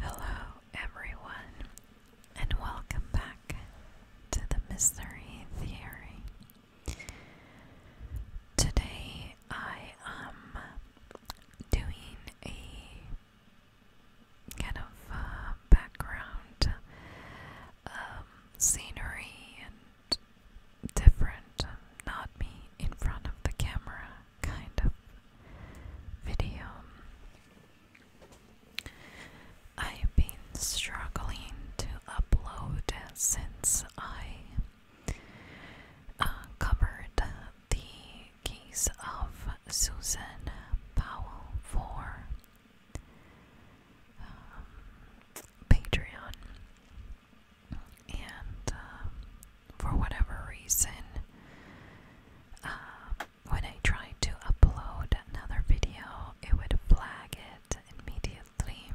Hello, everyone, and welcome back to the Mystery Theory. Today I am doing a kind of uh, background um, scenery different, not me in front of the camera kind of video. I've been struggling to upload since I uh, covered the case of Susan Powell for um, Patreon and um, for whatever reason, um, when I tried to upload another video, it would flag it immediately.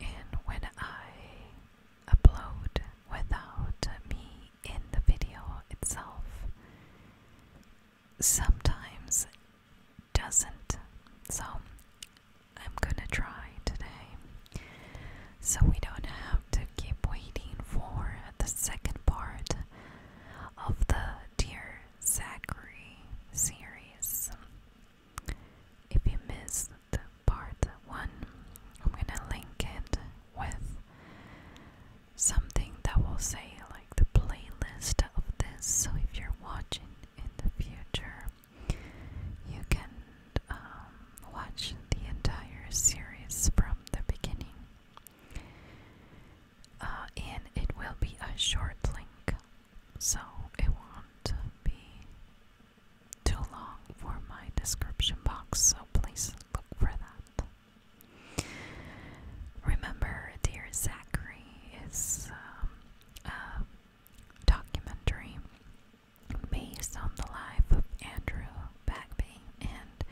And when I upload without me in the video itself, sometimes doesn't. So I'm gonna try today. So we don't have to keep waiting for the second part of the Dear Zachary series. If you missed part one, I'm gonna link it with something that will say like the playlist of this. So if you're watching in the future, you can um, watch the entire series from the beginning. Uh, and it will be a short link, so it won't be too long for my description box, so please look for that. Remember, dear Zachary is um, documentary based on the life of Andrew Bagby and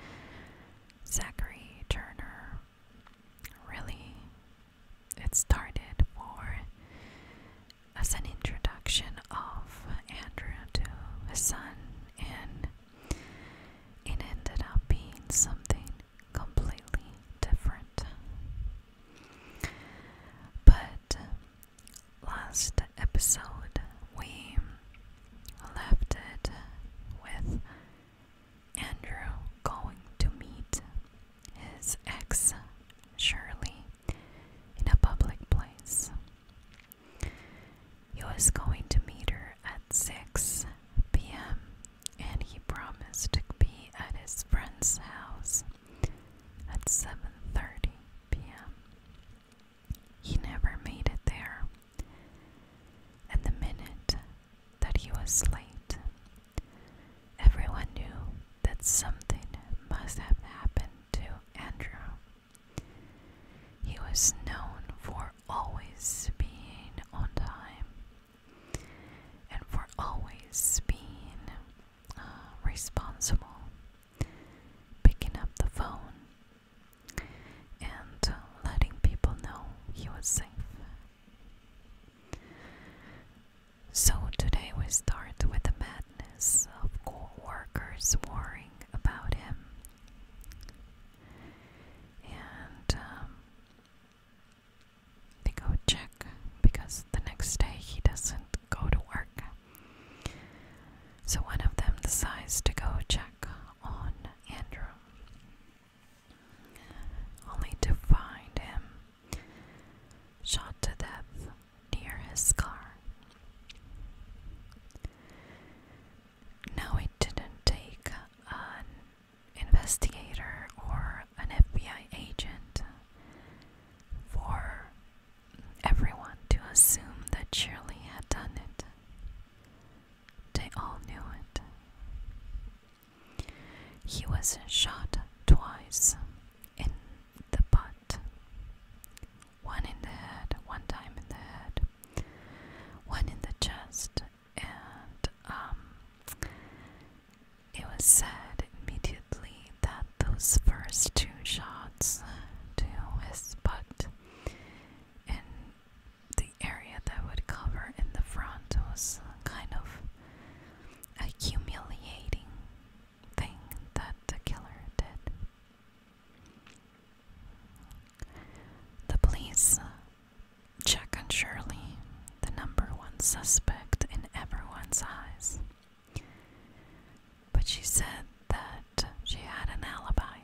Zachary Turner. Really, it started more as an introduction of Andrew to his son, and it ended up being something completely different. But uh, last episode we left it with Andrew going to meet his ex Shirley in a public place. He was going to meet her at 6 p.m and he promised to be at his friend's house at 7:30 p.m. He never made it there. And the minute that he was late, everyone knew that something must have happened to Andrew. He was known for always being on time and for always being uh, responsible, picking up the phone and uh, letting people know he was safe. So, today we start with the madness of coworkers worrying about him. And um, they go check because the next day he doesn't go to work. So one of them decides to go check on Andrew, only to find him shot to death near his car. Now, it didn't take an investigator or an FBI agent for everyone to assume that Shirley had done it. They all knew it. He was shot twice in the butt. One in the head, one time in the head, one in the chest, and um, it was said immediately that those first two shots to his butt in the area that would cover in the front was kind of a humiliating thing that the killer did. The police Chuck and Shirley, the number one suspect in everyone's eyes. But she said that she had an alibi.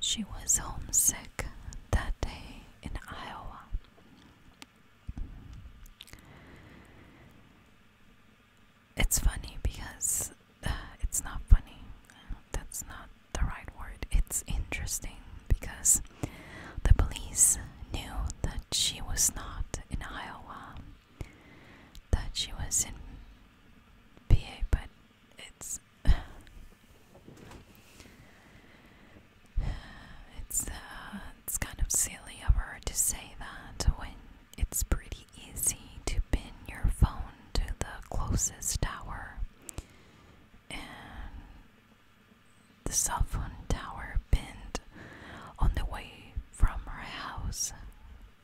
She was homesick that day in Iowa. It's funny because uh, it's not funny. That's not the right word. It's interesting because the police knew that she was not in Iowa, that she was in PA, but it's uh, it's kind of silly of her to say that when it's pretty easy to pin your phone to the closest tower the cell phone tower pinned on the way from her house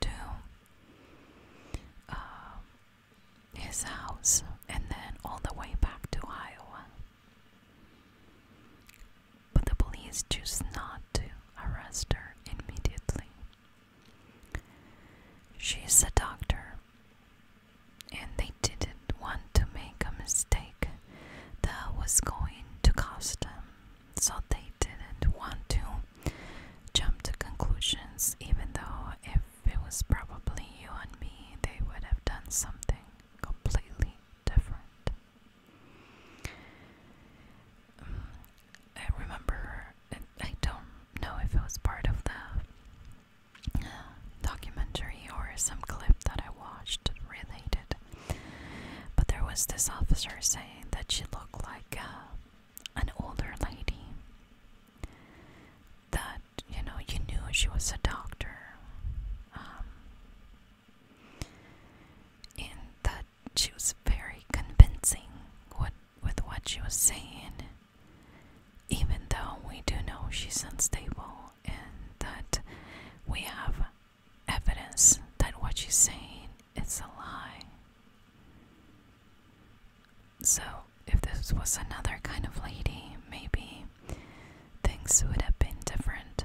to uh, his house and then all the way back to Iowa. But the police choose not to arrest her immediately. She's a doctor and they didn't want to make a mistake that was going to cost them, so they didn't want to jump to conclusions, even though if it was probably you and me, they would have done something completely different. Mm, I remember, I don't know if it was part of the documentary or some clip that I watched related. But there was this officer saying that she looked like uh, an older lady. That, you know, you knew she was a doctor. Um, and that she was very convincing with what she was saying even though we do know she's unstable and that we have evidence that what she's saying is a lie. So, if this was another kind of lady, maybe things would have been different.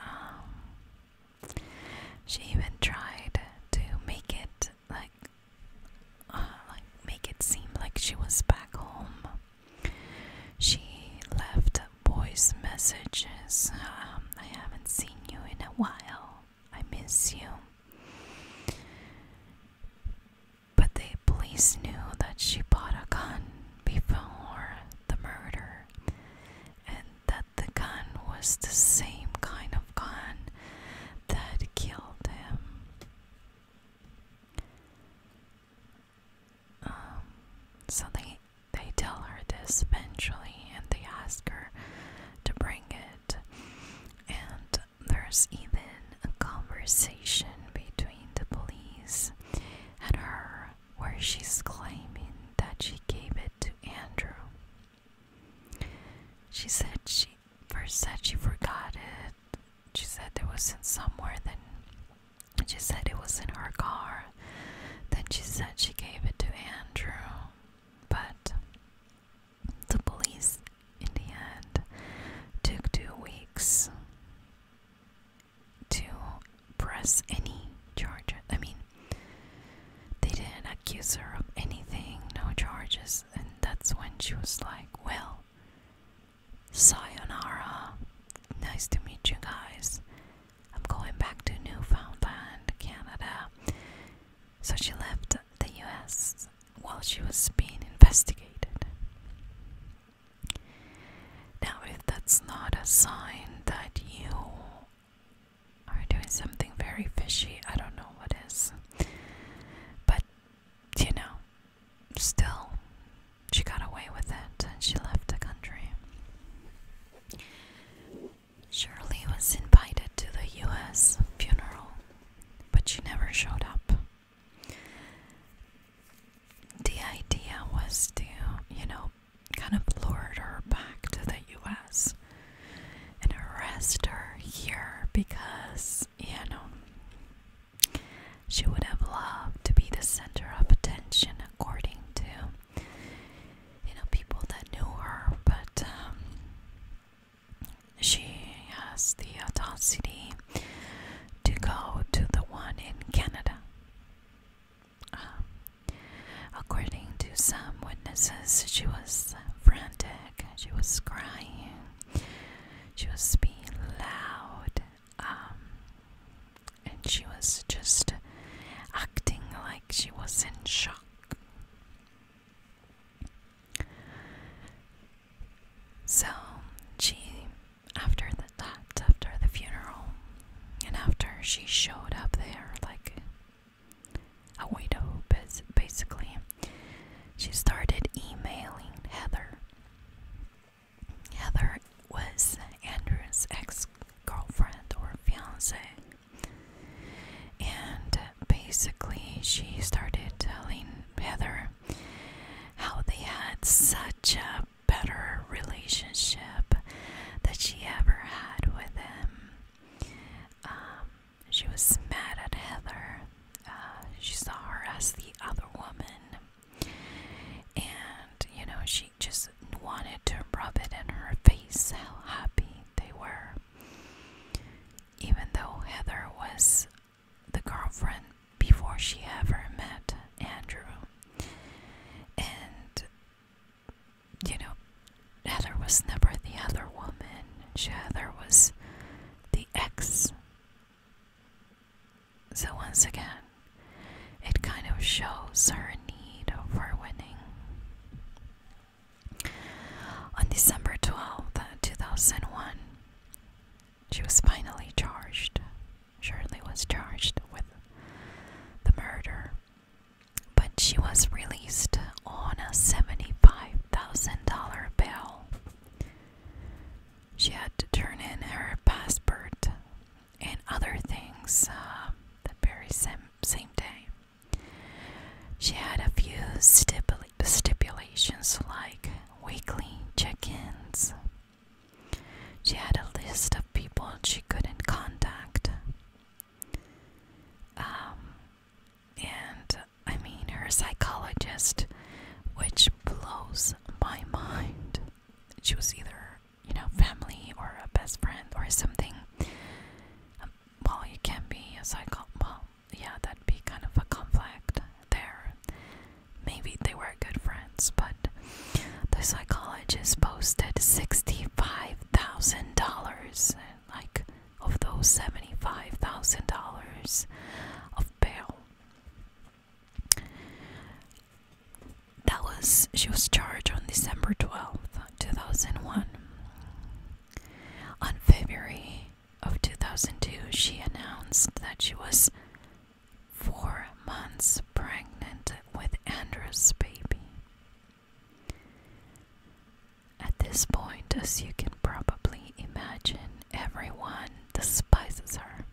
Um, she even tried to make it like uh, like make it seem like she was back home. She left voice messages. Um, I haven't seen you in a while. I miss you. But the police knew that she bought a gun before the murder and that the gun was the same kind of gun that killed him. Um, so they they tell her this eventually, and they ask her to bring it. And there's even a conversation between the police and her where she's claiming that she gave it to Andrew. She said she first said she forgot it she said it was in somewhere then she said it was in her car then she said she gave it to andrew but the police in the end took two weeks to press any charges i mean they didn't accuse her of anything no charges and that's when she was like well Sayonara. Nice to meet you guys. I'm going back to Newfoundland, Canada. So she left the US while she was being investigated. Now, if that's not a sign that you are doing something very fishy, I don't know what is. But you know, still, she got away with it and she left the country. Shirley was invited to the US funeral, but she never showed up. The idea was to, you know, kind of lure her back to the US and arrest her here because because, you she would have loved to be the center of attention, according to, you know, people that knew her, but um, she has the audacity to go to the one in Canada. Um, according to some witnesses, she was frantic, she was crying, she was being loud, um, and she was just acting like she was in shock. So she, after the, that, after the funeral, and after she showed up there like a widow, basically, she started emailing Heather. Heather was Andrew's ex girlfriend or fiance. And basically, she started telling Heather how they had such a better relationship that she ever had with him. Um, she was mad at Heather. Uh, she saw her as the other woman. And, you know, she just wanted to rub it in her face how happy they were. Even though Heather was the girlfriend before she ever met Andrew. And, you know, Heather was never the other woman. She, Heather was the dx. So, once again, it kind of shows her need for winning. On December 12th, 2001, she was finally charged. Shirley was charged with the murder, but she was released on a $75,000 bail she had to turn in her passport and other things uh, the very same, same day. She had a few stipulations like weekly check ins. She had a list of people she couldn't contact. Um, and I mean, her psychologist, which blows my mind. She was either, you know, family or a best friend or something. Um, well, you can't be a psycho. Well, yeah, that'd be kind of a conflict there. Maybe they were good friends, but the psychologist posted $65,000. Like, of those $75,000 of bail. That was she was charged on December 12th, 2001. On February of 2002, she announced that she was 4 months pregnant with Andrew's baby. At this point, as you can probably imagine, everyone despises her.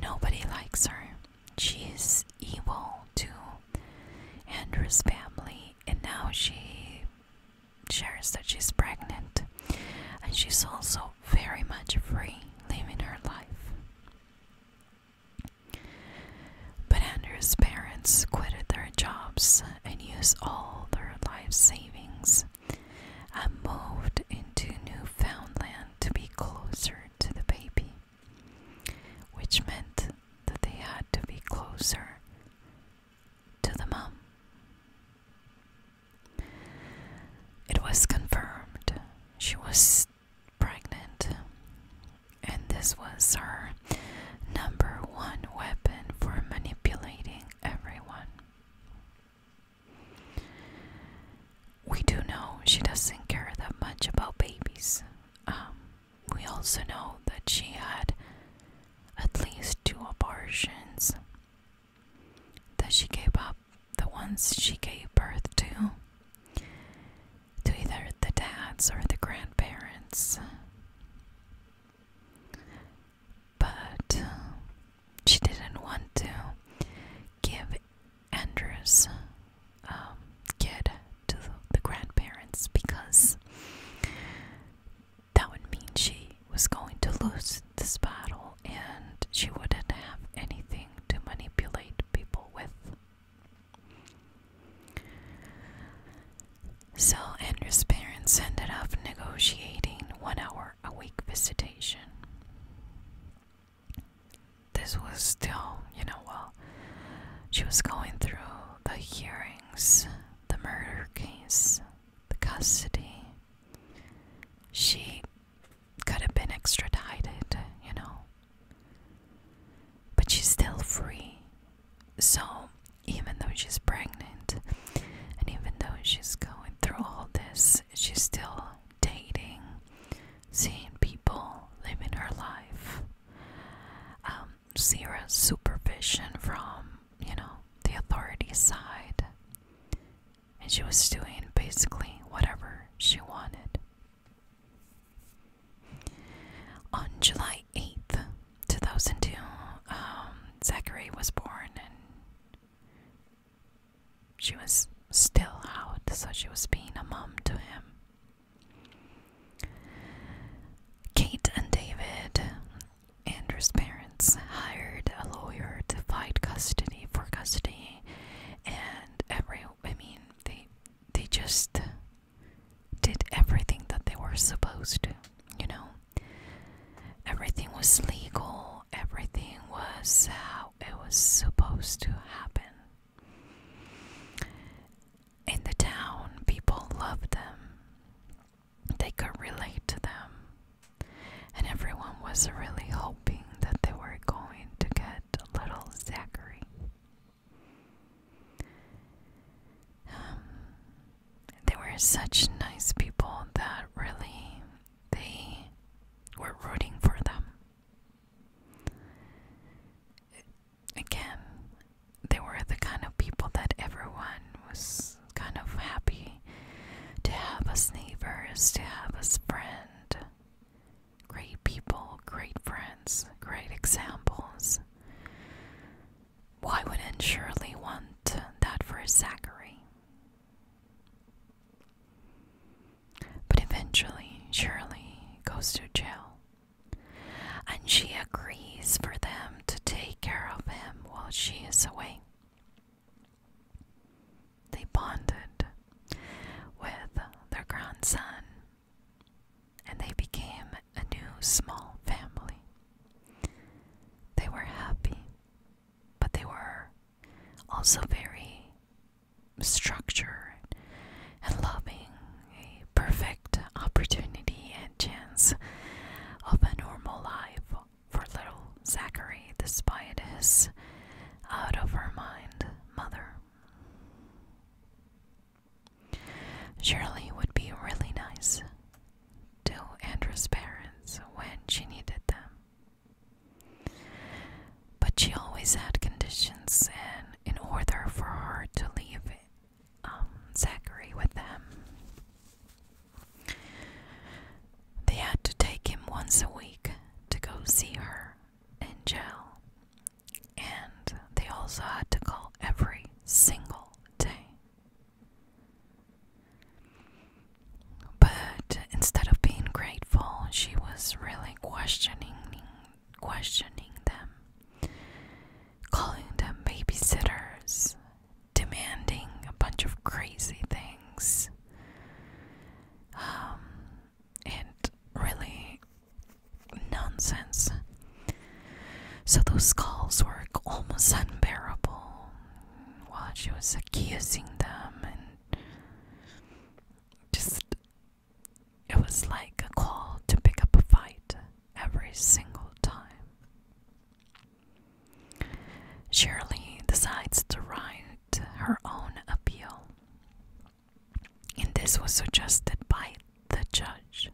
Nobody likes her. She's is evil to Andrew's family, and now she shares that she's pregnant, and she's also very much free living her life. But Andrew's parents quitted their jobs and use all their life savings and moved into new found land to be closer to the baby, which meant that they had to be closer to the mum. It was confirmed she was pregnant and this was her number one weapon for manipulating everyone. We do know she doesn't care that much about babies. Um, we also know that she had at least two abortions, that she gave up the ones she gave birth to to either the dads or the grandparents. But um, she didn't want to give Andrew's um, kid to the grandparents because that would mean she was going to lose this battle and she wouldn't have anything to manipulate people with. So Andrew's parents ended up negotiating one hour a week visitation. This was still, you know, well, she was going through the hearings, the murder case, the custody. She could have been extradited, you know. But she's still free. So even though she's pregnant and even though she's going through all this, she's still dating, seeing people, living her life. Um, zero supervision from, you know, the authority side. And she was doing basically whatever she wanted. On July 8th, 2002, um, Zachary was born and she was still out, so she was being a mom to him. Kate and David, Andrew's parents, hired a lawyer to fight custody for custody, and every I mean, they they just did everything that they were supposed to, you know. Everything was legal, everything was how it was supposed to happen. In the town, people loved them, they could relate to them, and everyone was really hoping that they were going to get little Zachary. Um, they were such nice people that really they were rooting for them. Again, they were the kind of people that everyone was kind of happy to have as neighbors, to have as friends. Great people, great friends, great examples. Why wouldn't Shirley want that for Zachary? But eventually, Shirley goes to jail, and she agrees for them to take care of him while she is away. They bonded with their grandson and they became a new small family. They were happy, but they were also very structured and loving, a perfect opportunity and chance of a normal life for little Zachary, despite his out of her mind mother. Shirley would be really nice to Andrew's parents when she needed them. But she always had conditions, and in order for her to leave um, Zachary with them, they had to take him once a week to go see her in jail and they also had to call every single day. But instead of being grateful, she was really questioning questioning them, calling them babysitters, demanding a bunch of crazy things. Um, and really nonsense. So those calls were almost unbearable while she was accusing them and just it was like a call to pick up a fight every single time. Shirley decides to write her own appeal and this was suggested by the judge.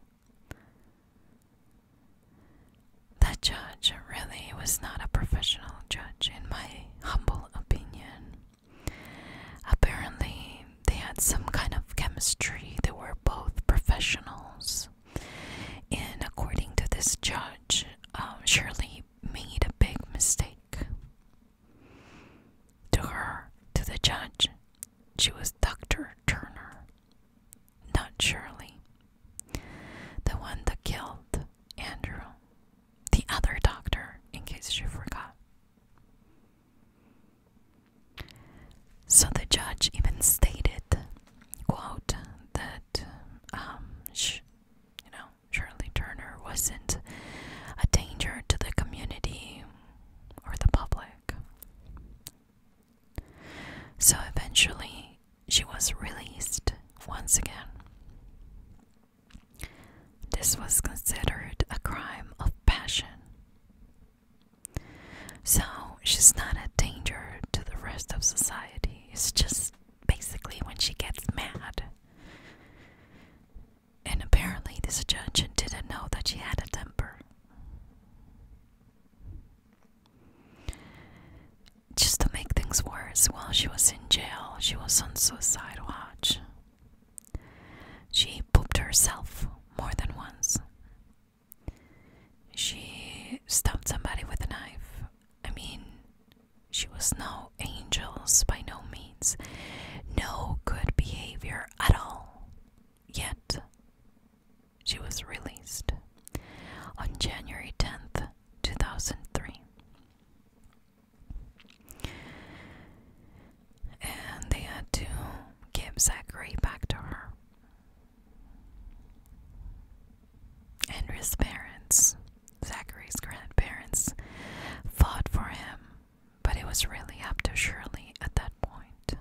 The judge really was not a professional judge, in my humble opinion. Apparently, they had some kind of chemistry, they were both professionals. And according to this judge, um, Shirley made a big mistake. To her, to the judge, she was Dr. Turner, not Shirley, the one that killed Andrew, the other doctor, in case she forgot. So the judge even stated, quote, that um, you know Shirley Turner wasn't a danger to the community or the public. So eventually, she was released once again. This was considered a crime of passion. So she's not a danger to the rest of society. It's just basically when she gets mad, and apparently, this judge didn't know that she had a temper. Just to make things worse, while she was in jail, she was on suicide watch. She pooped herself more than once. She stabbed somebody with a knife. I mean, she was no angels by no means. No good behavior at all. Yet, she was released on January 10th, 2003. And they had to give Zachary back to her. Henry's parents, Zachary's grandparents, fought for him but it was really up to Shirley at that point.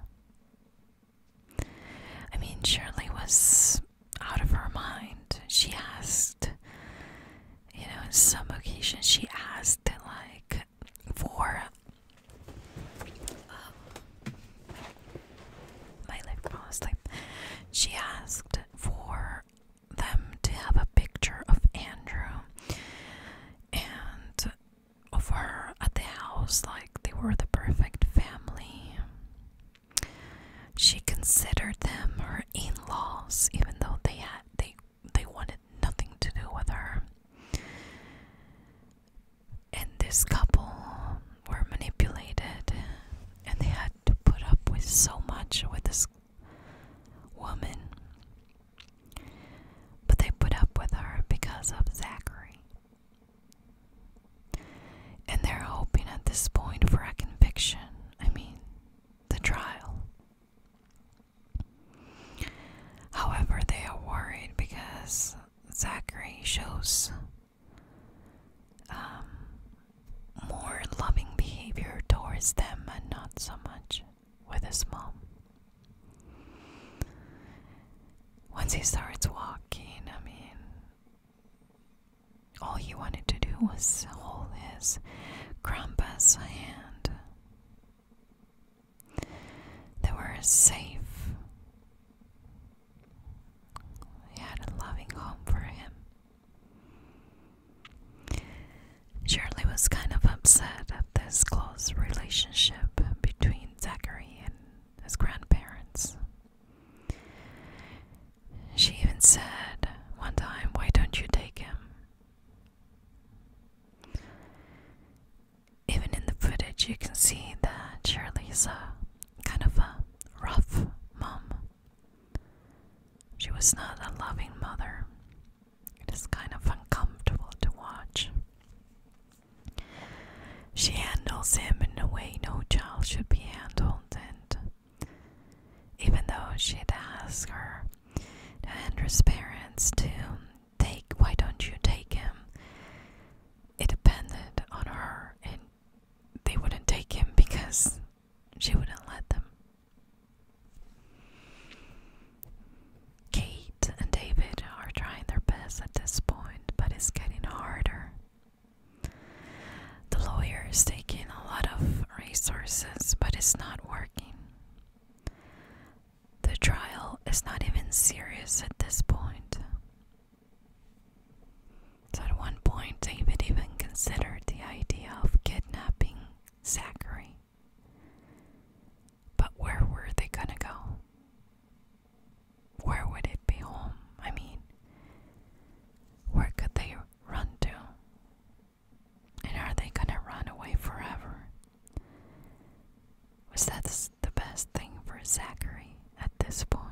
I mean, Shirley was out of her mind. She asked, you know, in some occasions, she asked, like, for um, my lip fell She asked for them to have a picture of Andrew and over at the house, like they were the perfect family. She considered them her in-laws, even though they had they they wanted nothing to do with her. And this couple were manipulated, and they had to put up with so much with this woman. But they put up with her because of Zachary. And they're hoping at this point for a conviction. I mean, the trial. However, they are worried because Zachary shows um, more loving behavior towards them and not so much with his mom. Once he starts walking, I mean, all he wanted to do was hold his grandpa's hand. They were safe. He had a loving home for him. Shirley was kind of upset at this close relationship between Zachary and his grandparents. She even said one time, Why don't you take him? Even in the footage, you can see that is a kind of a rough mom. She was not a loving mother. It is kind of uncomfortable to watch. She handles him in a way no child should be handled, and even though she'd ask her Andrew's parents to take why don't you take him? It depended on her and they wouldn't take him because she wouldn't let them. Kate and David are trying their best at this point, but it's getting harder. The lawyer is taking a lot of resources, but it's not working. The trial is not even serious at this point. at one point, David even considered the idea of kidnapping Zachary. But where were they gonna go? Where would it be home? I mean, where could they run to? And are they gonna run away forever? Was that the best thing for Zachary at this point?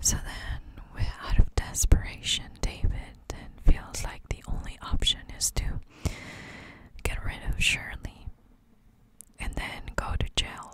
So then, we're out of desperation, David then feels like the only option is to get rid of Shirley and then go to jail.